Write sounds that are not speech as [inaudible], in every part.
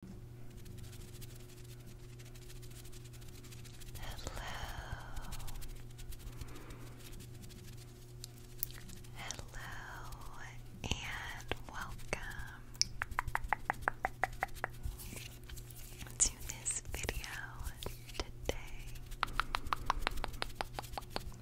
Hello and welcome to this video today.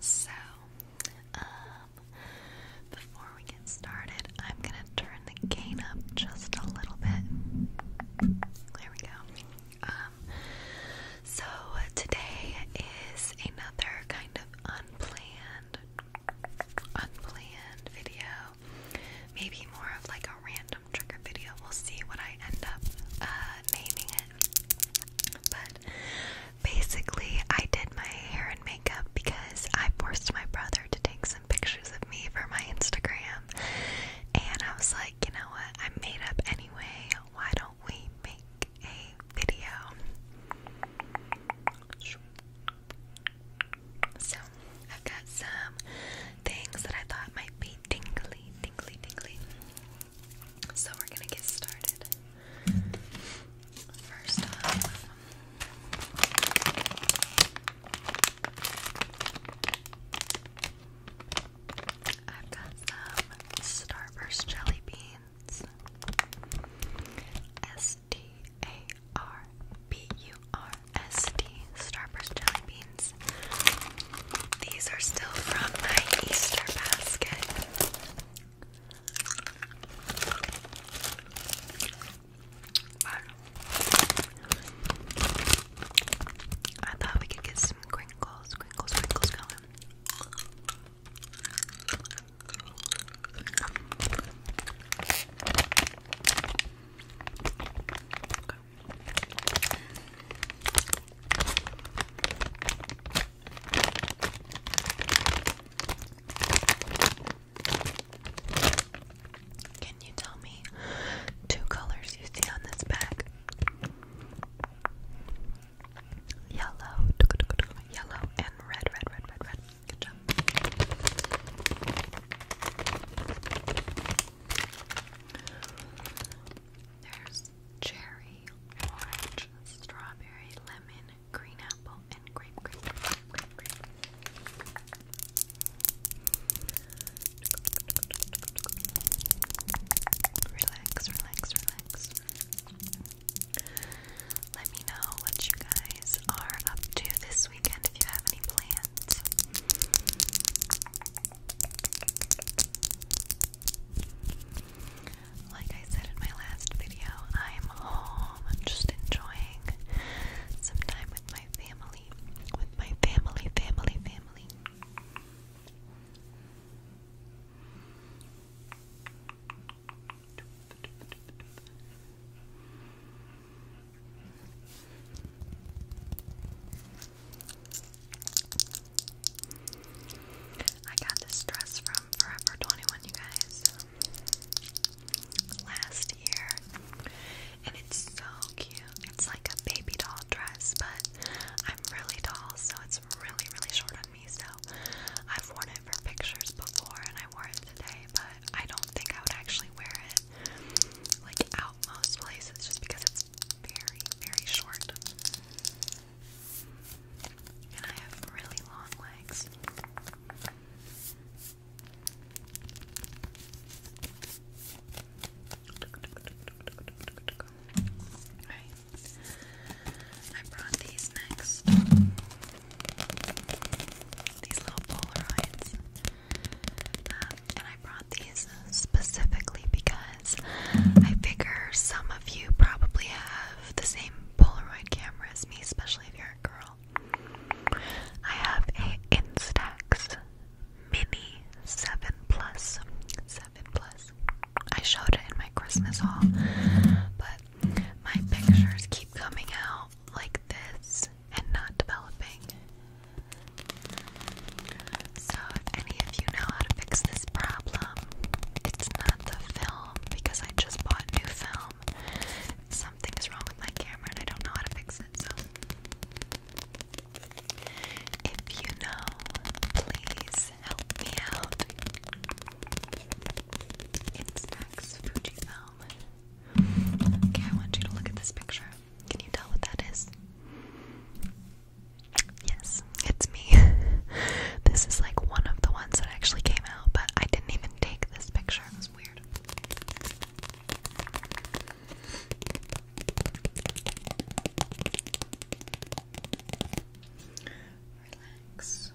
So, um, before before we get started, I'm gonna turn the gain up just a little bit. There we go. Um, so today is another kind of unplanned, unplanned video. Maybe more of like a random trigger video. We'll see what I end up uh, naming it. But basically, I did my hair and makeup because I forced my brother to take pictures of me for my Instagram, and I was like, you know what? I'm made up anyway. Why don't we make a video? So, I've got some things that I thought might be tingly, tingly, tingly. So, we're gonna get started. First off, I've got some Starburst jelly beans. S T A R B U R S T Starburst jelly beans. These are still from my Easter basket. But I thought we could get some crinkles, crinkles, crinkles going. Can you tell me two colors you see on this bag? Yellow, yellow, and red, red, red, red, red. Good job. There's cherry, orange, strawberry, lemon, green apple, Relax, relax, relax. Let me know what you guys are up to this weekend if you have any plans. Like I said in my last video, I'm home. I'm just enjoying some time with my family. With my family, family, family. I got this dress from from Forever 21, you guys, last year. And it's so cute. It's like a baby doll dress, but I'm really tall, so it's really, really short on me. So I've worn it for pictures before, and I wore it today, but I don't think I would actually wear it like out most places just because it's very, very short. And I have really long legs. I brought these next. These little Polaroids. Um, and I brought these specifically because I figure some of you probably have the same Polaroid camera as me, especially if you're a girl. I have a Instax Mini 7 Plus. 7 Plus. I showed it in my Christmas haul, but my pictures keep coming out like this and not developing. So, if any of you know how to fix this problem, it's not the film because I just bought new film. Something is wrong with my camera and I don't know how to fix it, so. If you know, please help me out. It's Max Fujifilm. Okay, I want you to look at this picture. Can you tell what that is? Yes, it's me. [laughs] this is like one of the ones that actually came out, but I didn't even take this picture. It was weird. Relax.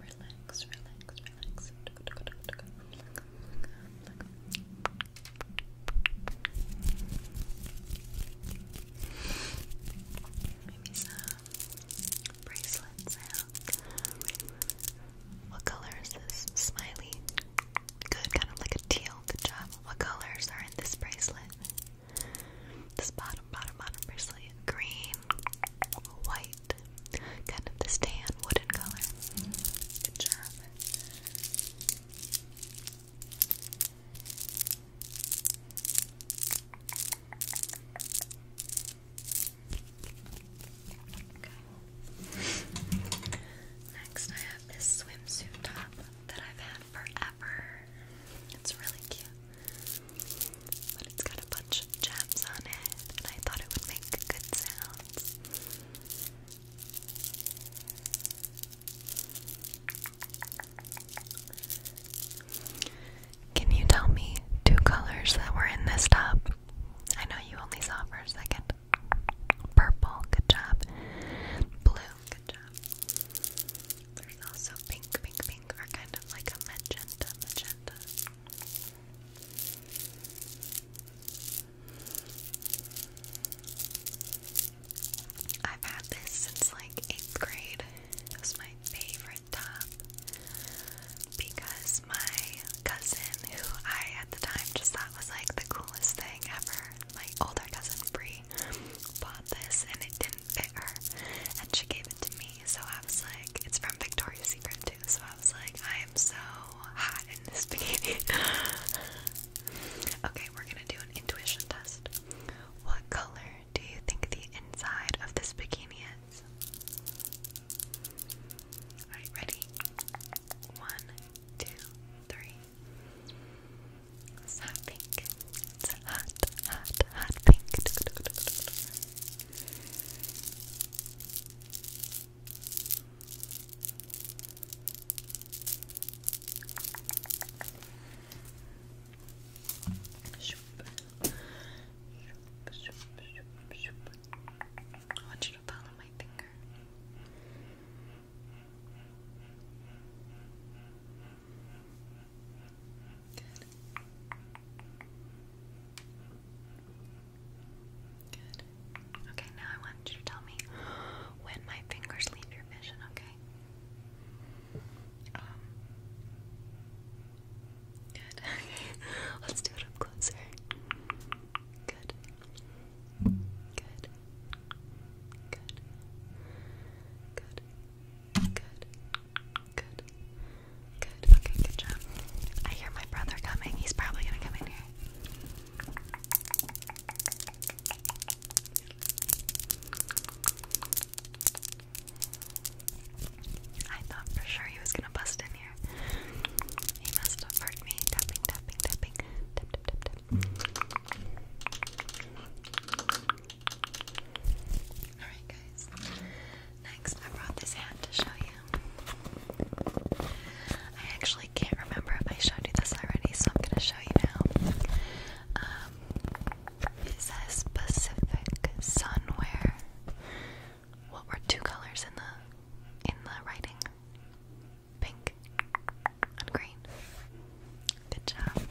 Relax, relax, relax. Maybe some bracelets out. What color is this? Smiley. Good, kind of like a teal. Good job. What colors are in this bracelet? This bottom, bottom, bottom bracelet. Green, white, kind of this tan wooden color. Good job. Next, I have this swimsuit top that I've had forever. It's really cute. But it's got a bunch of gems on it, and I thought it would make good sounds. Can you tell me two colors that were in this top? I know you only saw for a second. Purple, good job. Blue, good job. There's also pink, pink, pink, are kind of like a magenta, magenta. I've had this since like eighth grade. It my favorite top because my cousin, who I at the time just thought was like the coolest thing ever, my older cousin Brie, bought this and it didn't fit her, and she gave it to me. So I was like, it's from Victoria's Secret too. So I was like, I am so hot in this [laughs] bikini. okay, we're gonna do an intuition test. What color do you think the inside of this bikini is? Alright, ready? One, two, three. pink. It's hot, hot, hot pink. I want you to follow my finger. Good. Good. Okay, now I want you to tell me when my fingers leave your vision, okay? Um, good. [laughs] Let's do it up closer. Good. Good. Good. Good. Good. Good. Good. Okay, good job. I hear my brother coming. He's probably gonna come in here. I thought for sure he was gonna bust in here. He must have heard me tapping, tapping, tapping. Tap, tap, Alright, guys. Next, I brought this hat to show you. I actually can't remember if I showed you this already, so I'm gonna show you now. Um, is a Pacific Sunwear. What were two colors in the in the writing? Pink and green. Good job.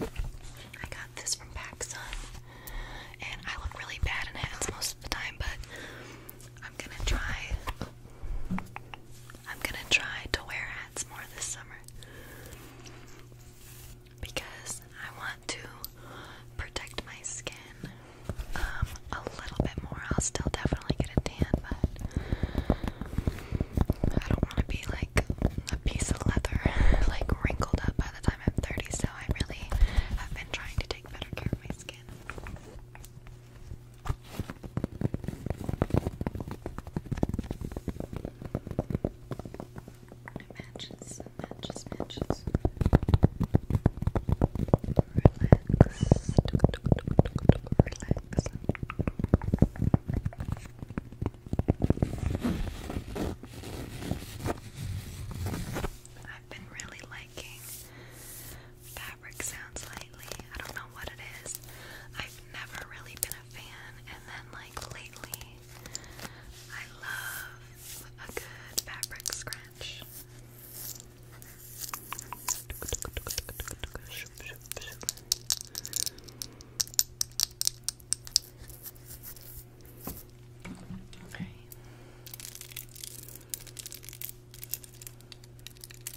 I got this from PacSun, and I look really bad in hats most of the time, but I'm gonna try I'm gonna try to wear hats more this summer because I want to protect my skin um, a little bit more. I'll still definitely get a tan, but I don't want to be like a piece of leather, [laughs] like wrinkled up by the time I'm 30. So I really have been trying to take better care of my skin. Matches, matches, matches. Relax. Relax. I've been really liking fabric sounds I don't know what it is. I've never really been a fan, and then like lately, I love a good fabric scratch. Okay.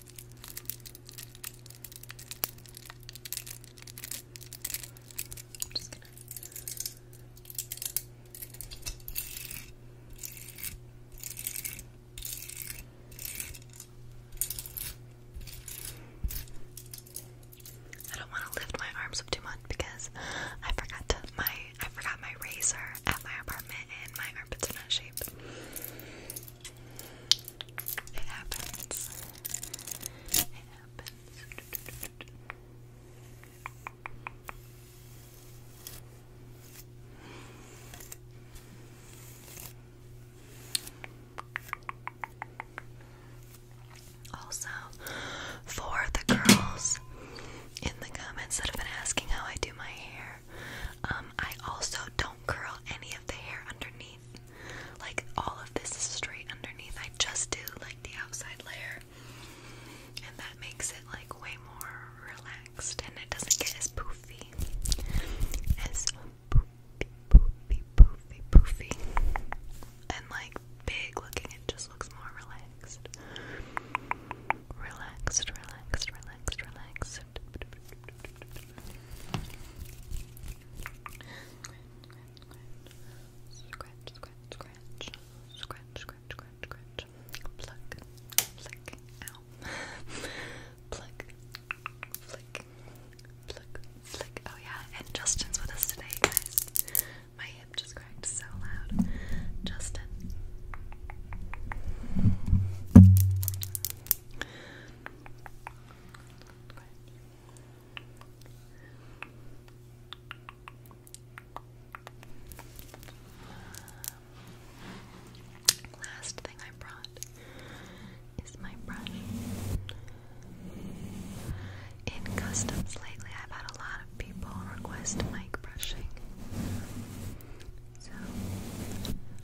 I'm just gonna I am do not want to lift my arms up too much because I forgot my I forgot my razor at my apartment and my armpits are it happens. It happens. Also, for the girls in the comments that have been asking how I do my hair, um, I also don't curl any of the hair underneath. Like all of this is straight underneath. I just do like the outside layer. And that makes it like way more relaxed and it doesn't get as poofy. As poofy, poofy, poofy, poofy. And like big looking, it just looks more relaxed. Relaxed, relaxed, relaxed, relaxed. Pluck, flick, ow. Pluck, flick, pluck, flick. Oh yeah, and Justin's with us today, guys. My hip just cracked so loud. Justin. Last thing I brought is my brush. In customs lately, I've had a lot of people request mic brushing. So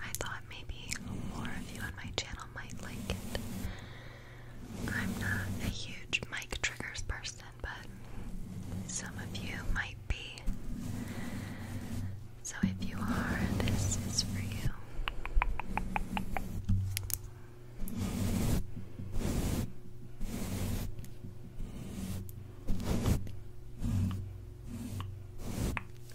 I thought maybe more of you on my channel might like it. I'm not a huge mic triggers person, but some of you might be. So if you are, this is for you.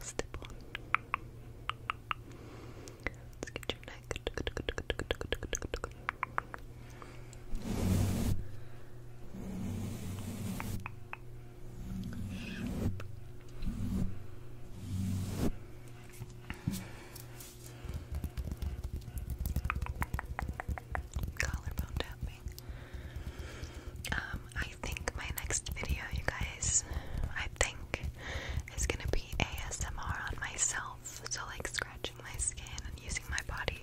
stipple, stipple. Let's get your neck. Collarbone tapping. Um, I think my next video, you guys, I think is gonna be ASMR on myself. So, like scratching my skin and using my body.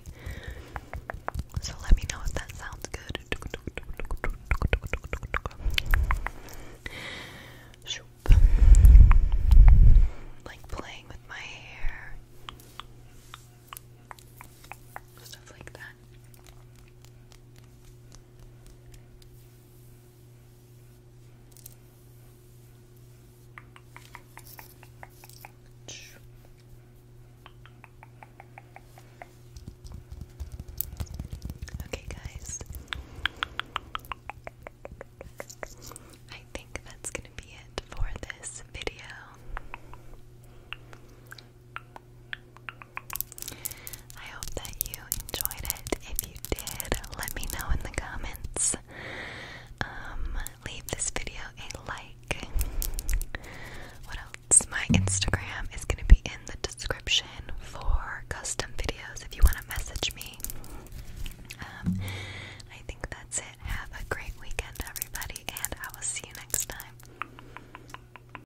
So, let me know if that sounds good. Like playing with my hair, stuff like that. Okay, guys. I think that's going to be it for this video. I hope that you enjoyed it. If you did, let me know in the comments. Um, leave this video a like. What else? My Instagram is going to be in the description for custom videos if you want to message me. Um, I think that's it. Have a great weekend, everybody, and I will see you next time.